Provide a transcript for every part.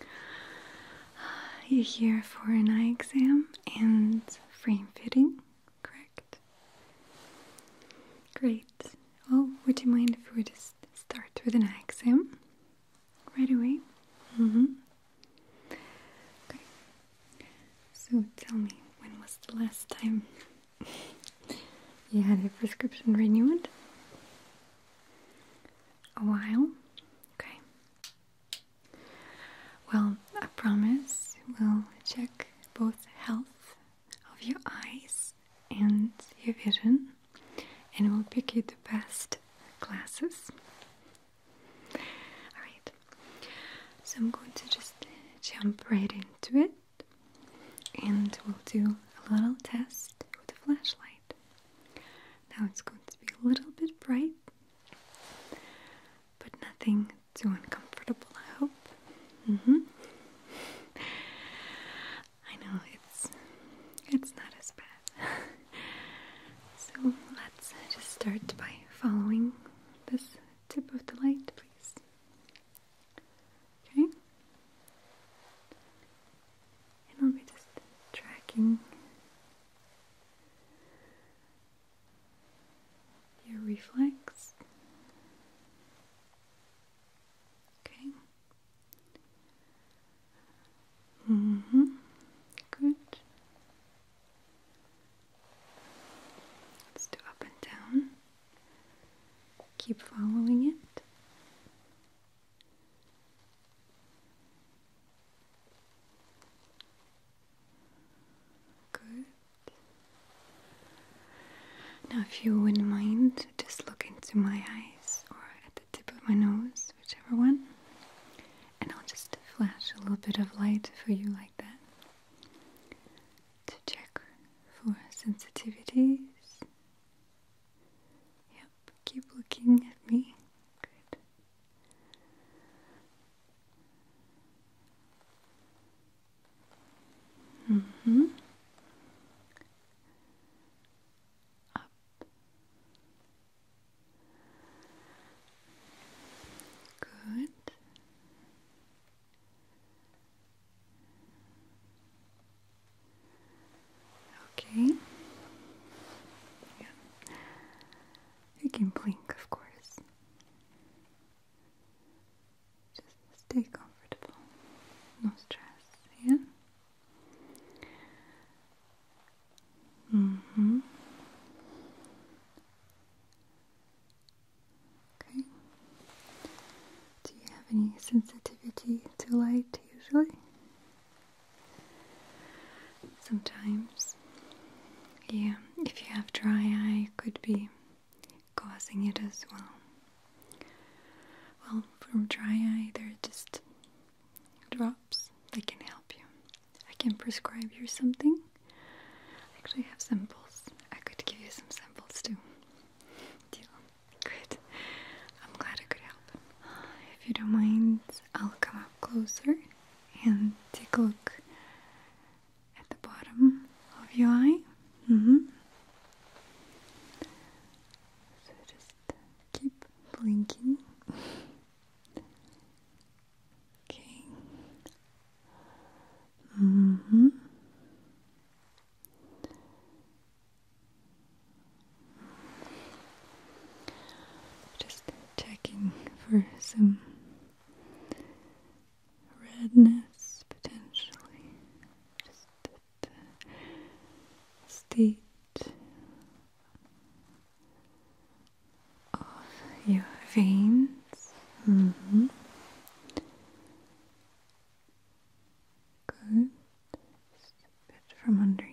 You're here for an eye exam and frame fitting, correct? Great. Oh, would you mind if we just start with an eye exam right away? Mm-hmm. So tell me, when was the last time you had a prescription renewed? a while. Okay. Well, I promise we'll check both health of your eyes and your vision, and we'll pick you the best glasses. Alright, so I'm going to just jump right into it, and we'll do a little test with a flashlight. Now it's going to be a little bit bright, but nothing too uncomfortable, I hope. Mm hmm. I know it's it's not as bad. so let's just start by following this tip of the light, please. Okay? And I'll be just tracking your reflex. Okay. hmm Good. Let's do up and down. Keep following it. Good. Now, if you wouldn't mind, just look into my eyes or at the tip of my nose, whichever one, and I'll just flash a little bit of light for you like that to check for sensitivities. Yep. Keep looking at me. Good. Mm hmm. Up. Good. Okay. Yeah. You can blink, of course. Just stay comfortable. No stress, yeah? Mm-hmm. Okay. Do you have any sensitivity to light usually? Sometimes. Yeah, if you have dry eye, it could be causing it as well. Well, from dry eye, there are just drops that can help you. I can prescribe you something. I actually have samples. I could give you some samples too. Deal. Good. I'm glad I could help. If you don't mind, I'll come up closer and take a look at the bottom of your eye. Mm -hmm. So just keep blinking. Okay. Mm -hmm. Just checking for some redness potentially. Just the state of your veins. Mm-hmm. Good. bit from underneath.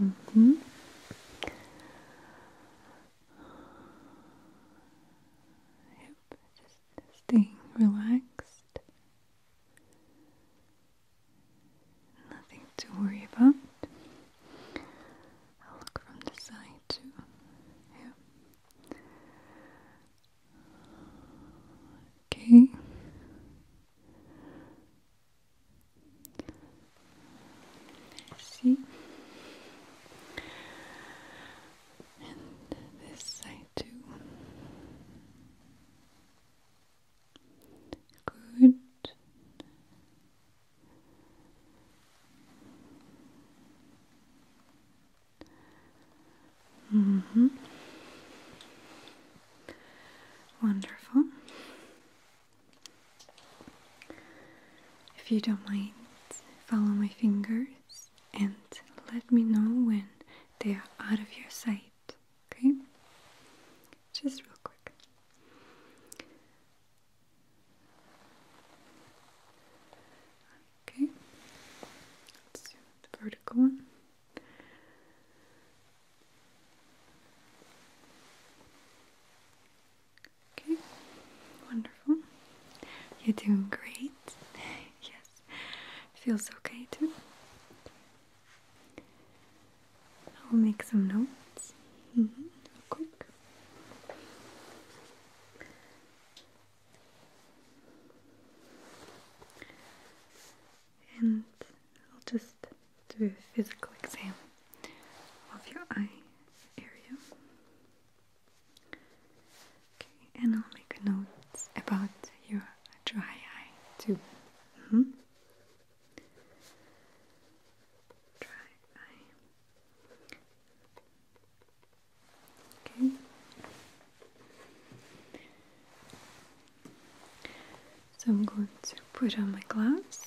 Mm hmm just staying relaxed. Nothing to worry about. I'll look from the side too. Yeah. Okay. see. And this side too. Good. Mm hmm. Wonderful. If you don't mind, follow my fingers and let me know when they are out of your sight. Okay? Just real quick. Okay, let's do the vertical one. Okay, wonderful. You're doing great. yes, feels okay too. I'll make some notes quick. And I'll just do a physical exam of your eye area. Okay, and I'll make a note about your dry eye too. -hmm. Okay. So I'm going to put on my glasses,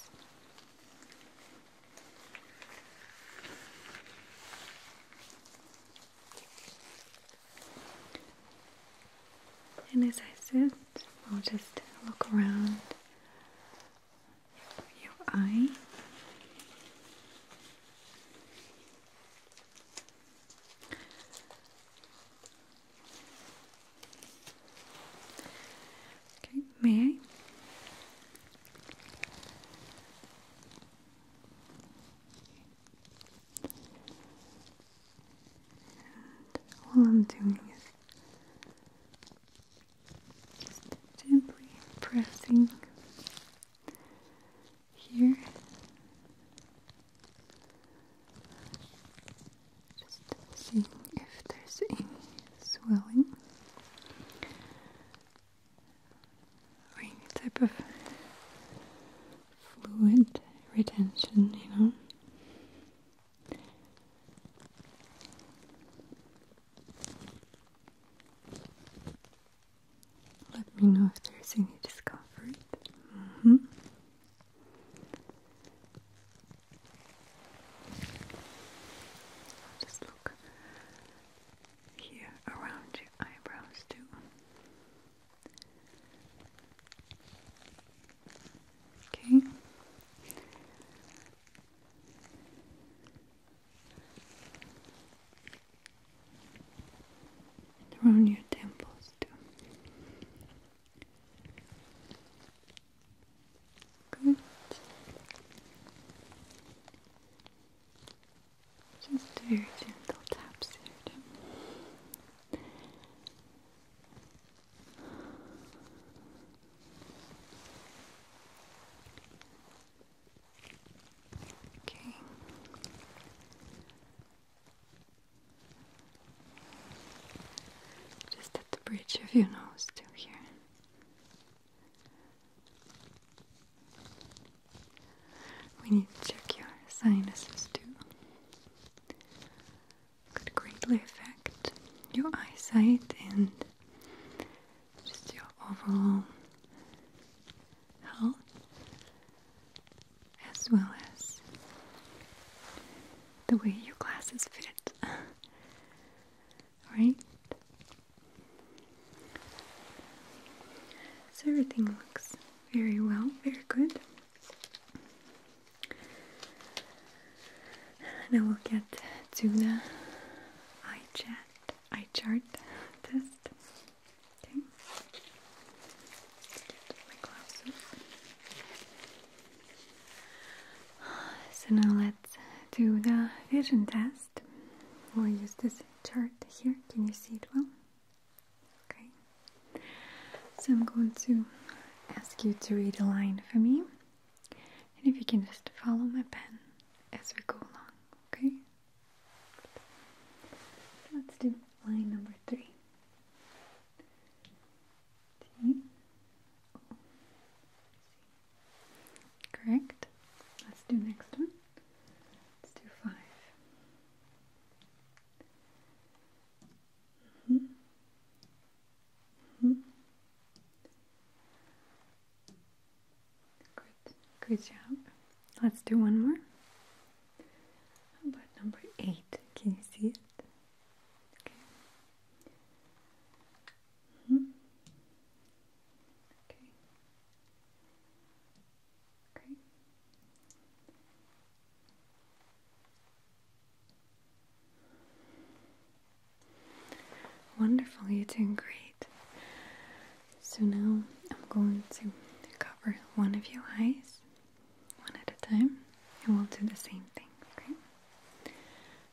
And as I sit, I'll just look around your Okay, may And all I'm doing is just gently pressing here. Just seeing if there's any swelling or any type of fluid retention, you know. Let me know if there's any discomfort. Mm-hmm. just look here around your eyebrows too. Okay. Around your temples too. Good. Just very gentle taps here. Okay. Just at the bridge of your nose, too, here. We need to check your sinuses, too could greatly affect your eyesight and just your overall health as well as the way your glasses fit. right? So everything looks very well, very good. And I will get to the eye chart test. Okay. Get my glasses. So now let's do the vision test. We'll use this chart here. Can you see it well? Okay. So I'm going to ask you to read a line for me. And if you can just follow my pen as we go along, okay? Let's do line number three. T Correct. Let's do next one. Let's do five. -hmm. Mm -hmm. job. Let's do one more. about number eight? Can you see it? Okay. -hmm. Okay. Okay. Wonderful, you're doing great. So now I'm going to cover one of your eyes, one at a time, and we'll do the same thing, okay?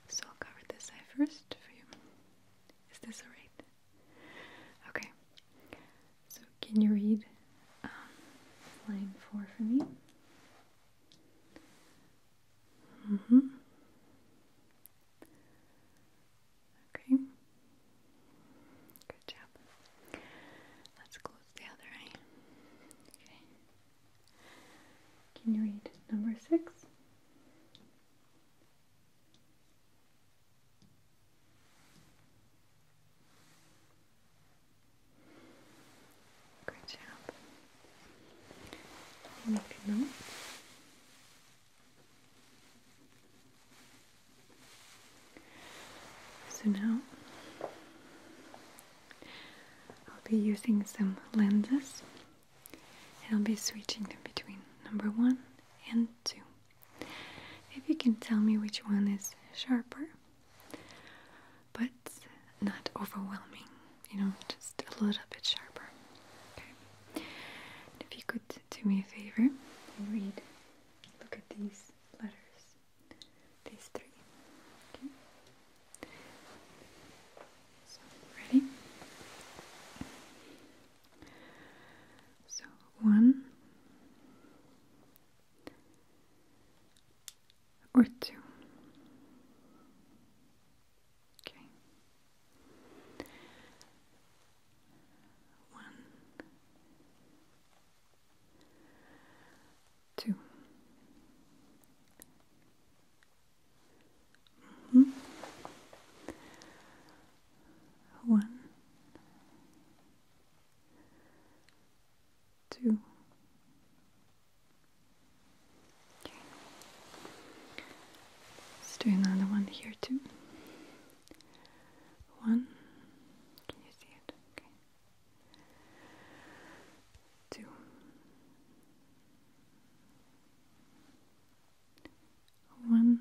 So I'll cover this eye first for you. Is this alright? Okay. So can you read um, line four for me? Mm hmm. Okay. Good job. Let's close the other eye. Okay. Can you read number six? Good job. So now I'll be using some lenses and I'll be switching them between number one and two. If you can tell me which one is sharper, but not overwhelming, you know, just a little bit sharper. Okay. if you could do me a favor, read, look at these letters, these three. Okay. So, ready? So, one, or two. Okay. One, two. Mm-hmm. One, two. Let's do another one here too. One. Can you see it? Okay. Two. One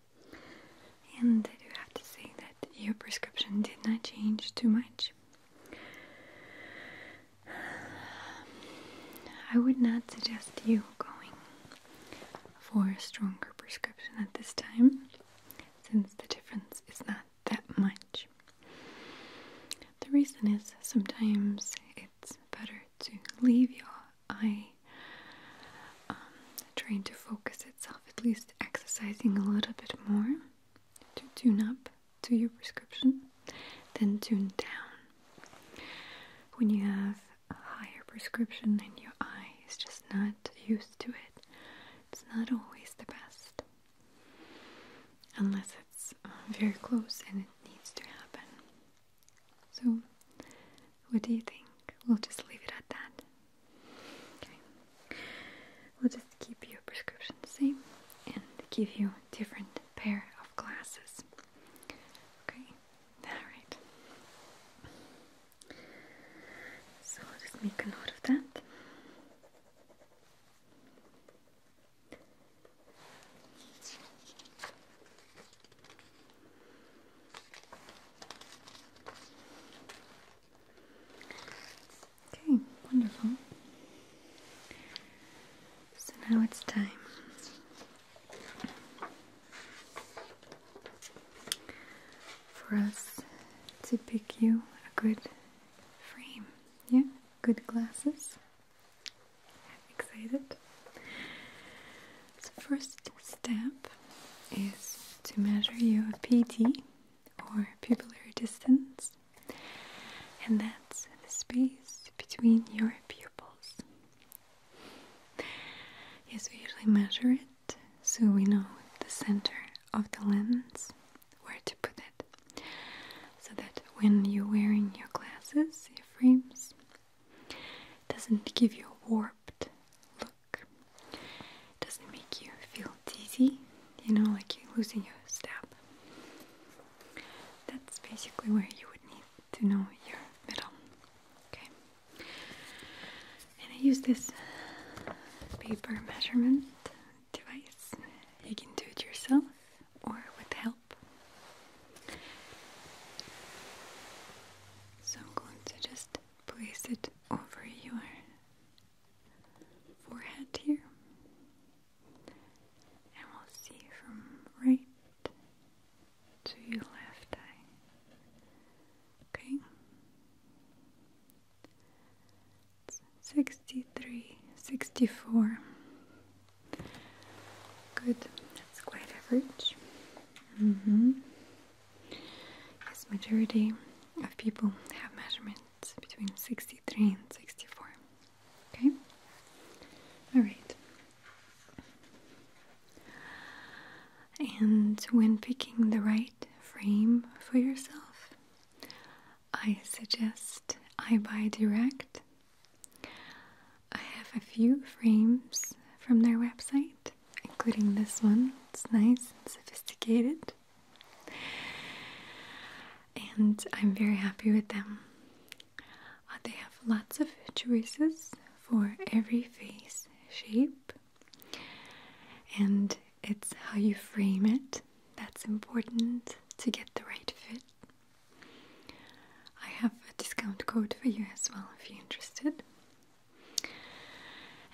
And I do have to say that your prescription did not change too much. I would not suggest you going for a stronger prescription at this time since the difference is not that much. The reason is sometimes it's better to leave your I um trying to focus itself, at least exercising a little bit more to tune up to your prescription, then tune down. When you have a higher prescription and your eye is just not used to it, it's not always the best. Unless it's uh, very close and it needs to happen. So what do you think? We'll just leave it at that. Okay. We'll just keep your prescription the same and give you a different pair of glasses. Okay. All right. So I'll make a note of that. Okay, wonderful. So now it's time for us to pick you a good frame. Yeah, good glasses. Excited? The first step is to measure your PT or pupillary distance and that's the space between your pupils. Yes, we usually measure it so we know the center of the lens, where to put it, so that when you're wearing your glasses, your frames, doesn't give you a warped look. Doesn't make you feel dizzy, you know, like you're losing your step. That's basically where you would need to know your middle. Okay. And I use this paper measurement device. You can do it yourself or with help. So I'm going to just place it over your forehead here, and we'll see from right to your left eye. Okay, it's 63, 64. Good, that's quite average hmm. Yes, majority of people have measurements between 63 and 64. Okay? Alright. And when picking the right frame for yourself, I suggest I buy direct. I have a few frames from their website, including this one. It's nice and sophisticated. And I'm very happy with them. Uh, they have lots of choices for every face shape, and it's how you frame it that's important to get the right fit. I have a discount code for you as well if you're interested.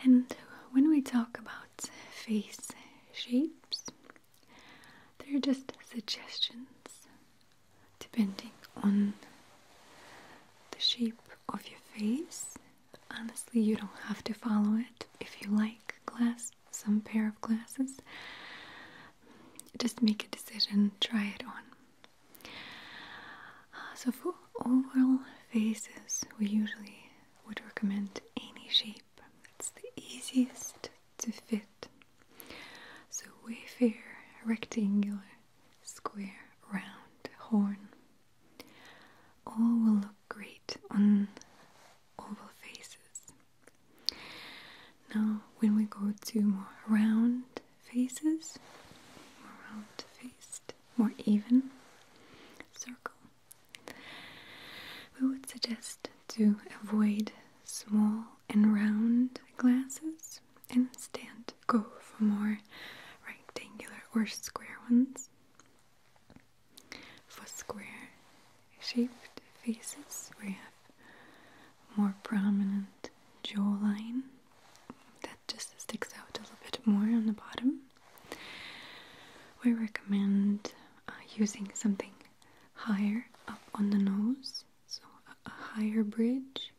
And when we talk about face shapes, they're just suggestions depending on the shape of your face. Honestly, you don't have to follow it if you like glasses, some pair of glasses. Just make a decision, try it on. Uh, so for oval faces, we usually would recommend any shape. It's the easiest to fit. So wayfair, rectangular, square, round, horn. All will look great on oval faces. Now, when we go to more round faces, more round faced, more even circle. We would suggest to avoid small and round glasses and instead go for more rectangular or square ones. For square shaped faces, we have more prominent jawline that just sticks out a little bit more on the bottom. We recommend uh, using something higher up on the nose, so a, a higher bridge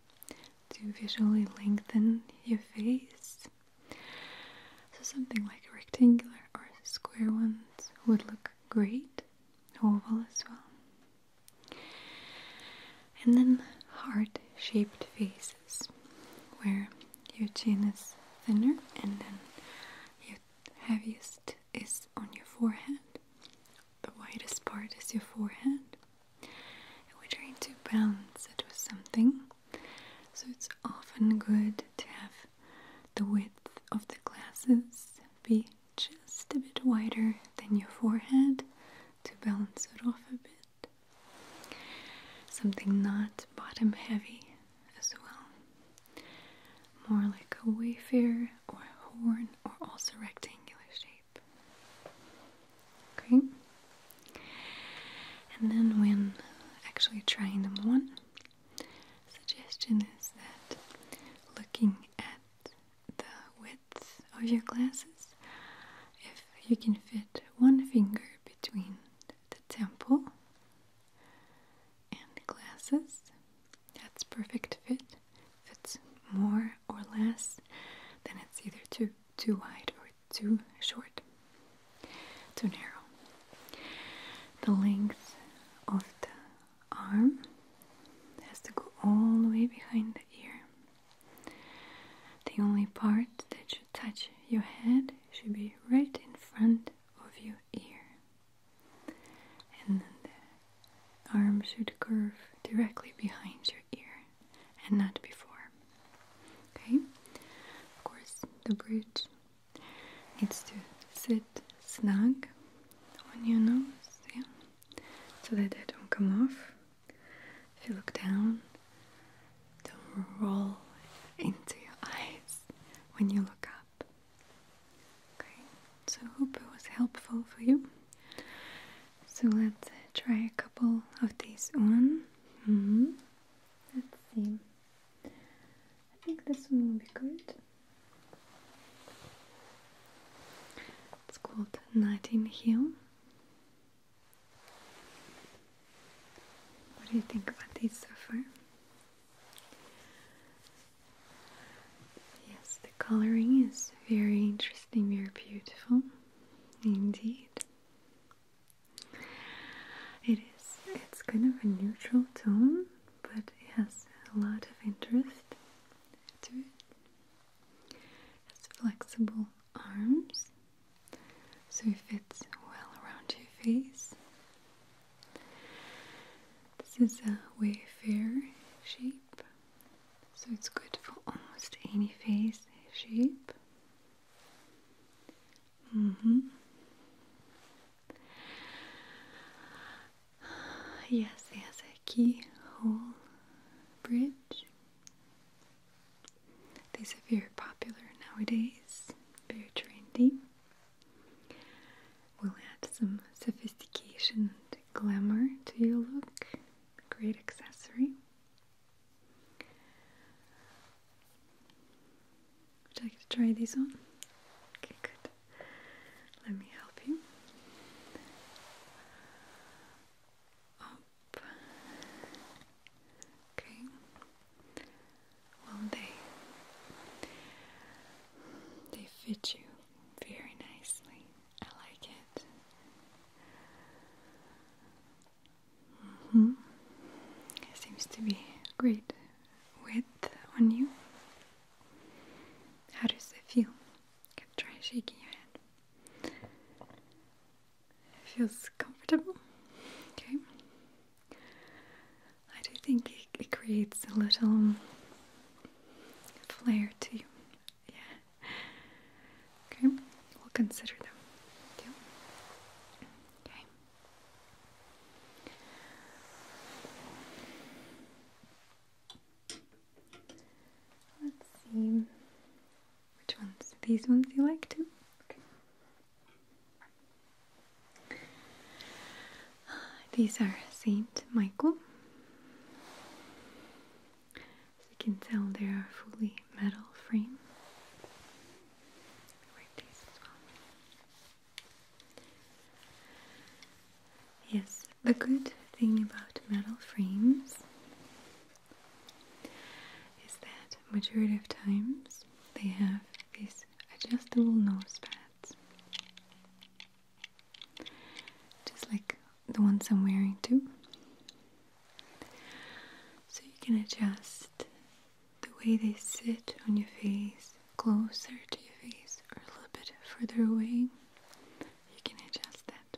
to visually lengthen your face. So something like rectangular or square ones would look great, oval as well. And then heart shaped faces where your chin is thinner and then your heaviest is on your forehead. The widest part is your forehead. And we're trying to balance it with something. So it's often good to have the width of the glasses be just a bit wider than your forehead to balance it off a bit. Something not bottom heavy as well. More like a wayfarer or a horn or also rectangular shape. Okay? And then when actually trying them on, suggestion is that looking at the width of your glasses. If you can fit one finger between the temple and glasses, that's perfect fit. If it's more or less, then it's either too too wide or too short, too narrow. The length of the arm has to go all the way behind the ear. The only part that should touch your head should be right in front of your ear. And then the arm should curve directly behind your ear and not before. Okay? Of course, the bridge needs to sit snug on your nose. Yeah? so that they don't come off. If you look down, they'll roll into your eyes when you look up. Okay, so hope it was helpful for you. So let's uh, try a couple of these on. Mm-hmm. Let's see. I think this one will be good. It's called Night Hill. What do you think about these so far? Yes, the coloring is very interesting, very beautiful indeed. It is, it's kind of a neutral tone, but it has a lot of interest to it. Has flexible arms, so it fits well around your face. This is a wayfair shape, so it's good for almost any face shape. -hmm. Yes, it has a keyhole bridge. These are very popular nowadays, very trendy. Will add some sophistication and glamour to your look. Great accessory. Would you like to try these on? Okay, good. Let me help you. Okay. Well, they they fit you very nicely. I like it. hmm It seems to be great width on you. How does it feel? You can try shaking your head. feels comfortable. Okay. I do think it, creates a little flair to you. Yeah. Okay. We'll consider them. Too. Okay. Let's see which ones. These ones you like too? These are Saint Michael. As you can tell, they are fully metal frame. I these as well. Yes, the good thing about metal frames is that majority of times they have these adjustable nose pads. Just like the ones I'm wearing too. So you can adjust the way they sit on your face, closer to your face or a little bit further away you can adjust that.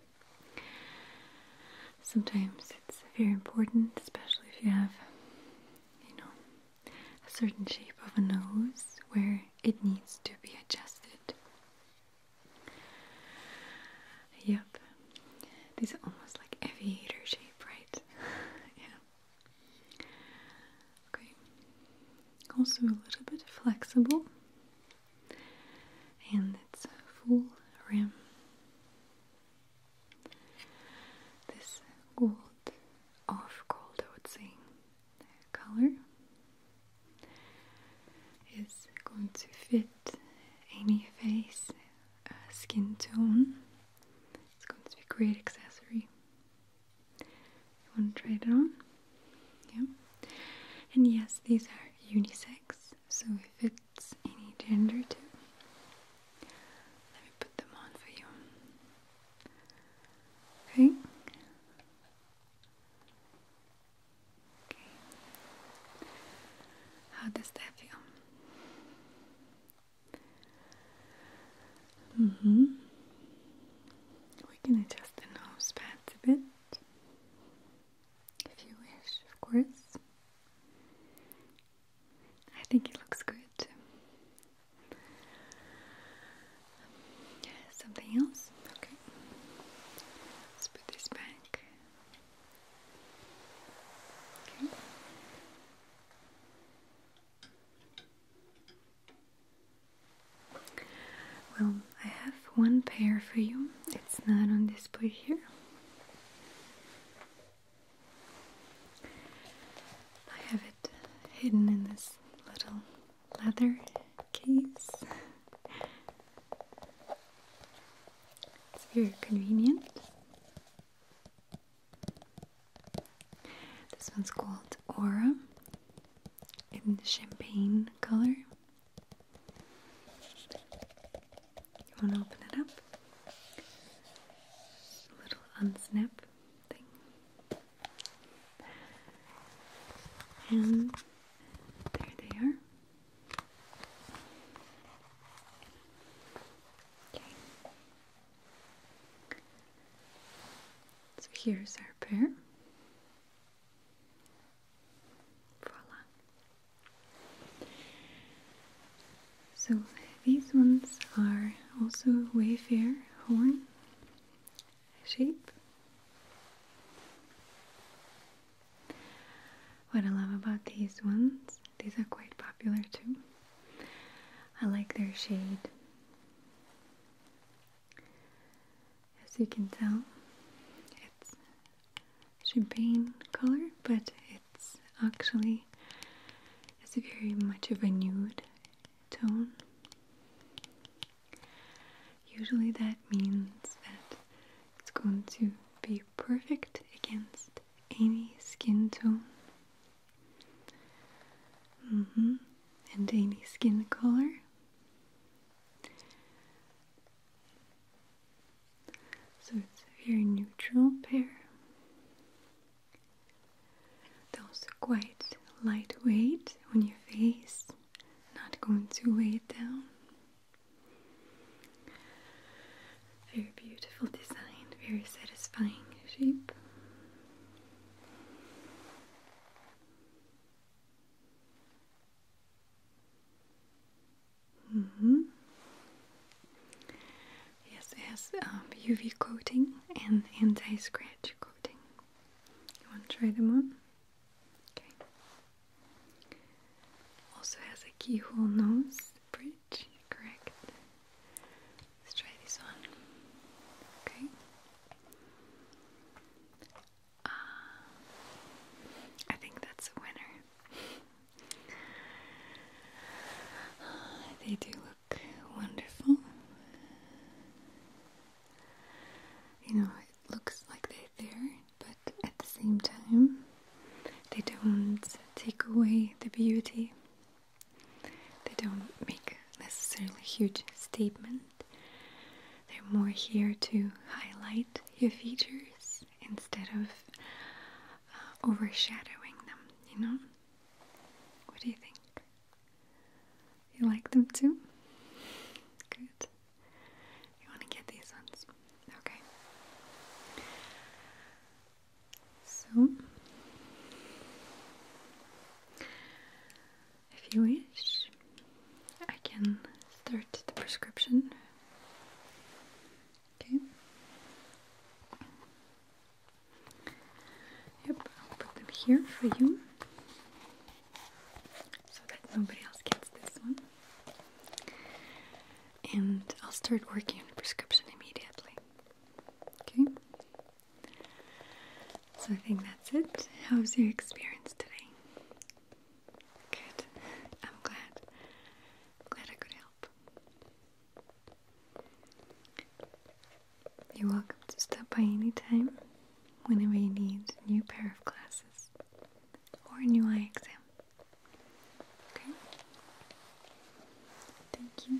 Sometimes it's very important, especially if you have, you know, a certain shape of a nose where it needs to be adjusted. Yep, these are almost like aviator shape, right? yeah. Okay, also a little bit flexible and it's full rim. This gold, off gold, I would say, color is going to fit any face, uh, skin tone. It's going to be great accessory. You want to try it on? Yeah. And yes, these are unisex, so it fits any gender too. Let me put them on for you. Okay. Okay. How does that feel? Mm-hmm. We can adjust the nose pads a bit if you wish, of course. I think it looks good. Something else? Okay. put this back. Okay. Well, I have one pair for you. It's not on display here. I have it hidden in this little leather case. It's very convenient. This one's called Aura in the champagne color. You want to open it up? little unsnap thing. And there they are. Okay. So here's our pair voila so these ones are also wayfair horn shape what I love about these ones these are quite popular too I like their shade as you can tell, it's champagne color, but it's actually it's very much of a nude tone. Usually that means that it's going to be perfect against any skin tone. Mm-hmm. And any skin color. So it's a very neutral pair. they also quite lightweight on your face, not going to weigh it down. Very beautiful design, very satisfying shape. -hmm. Yes, it has UV um, coating and anti-scratch coating. You want to try them on? Okay. Also has a keyhole nose bridge, correct? Let's try this one. Okay. Uh, I think that's a winner. they do look wonderful. You know, it looks like they're there, but at the same time, they don't take away the beauty. They don't make necessarily huge statements. They're more here to highlight your features instead of uh, overshadowing them, you know? What do you think? You like them too? Good. You want to get these ones? Okay. So, if you wish, I can start the prescription. Okay. Yep, I'll put them here for you so that nobody else gets this one. And I'll start working on the prescription immediately. Okay? So I think that's it. How was your experience today? Good. I'm glad. glad I could help. You're welcome to stop by anytime whenever you need a new pair of glasses or a new eye exam. Okay? Thank you.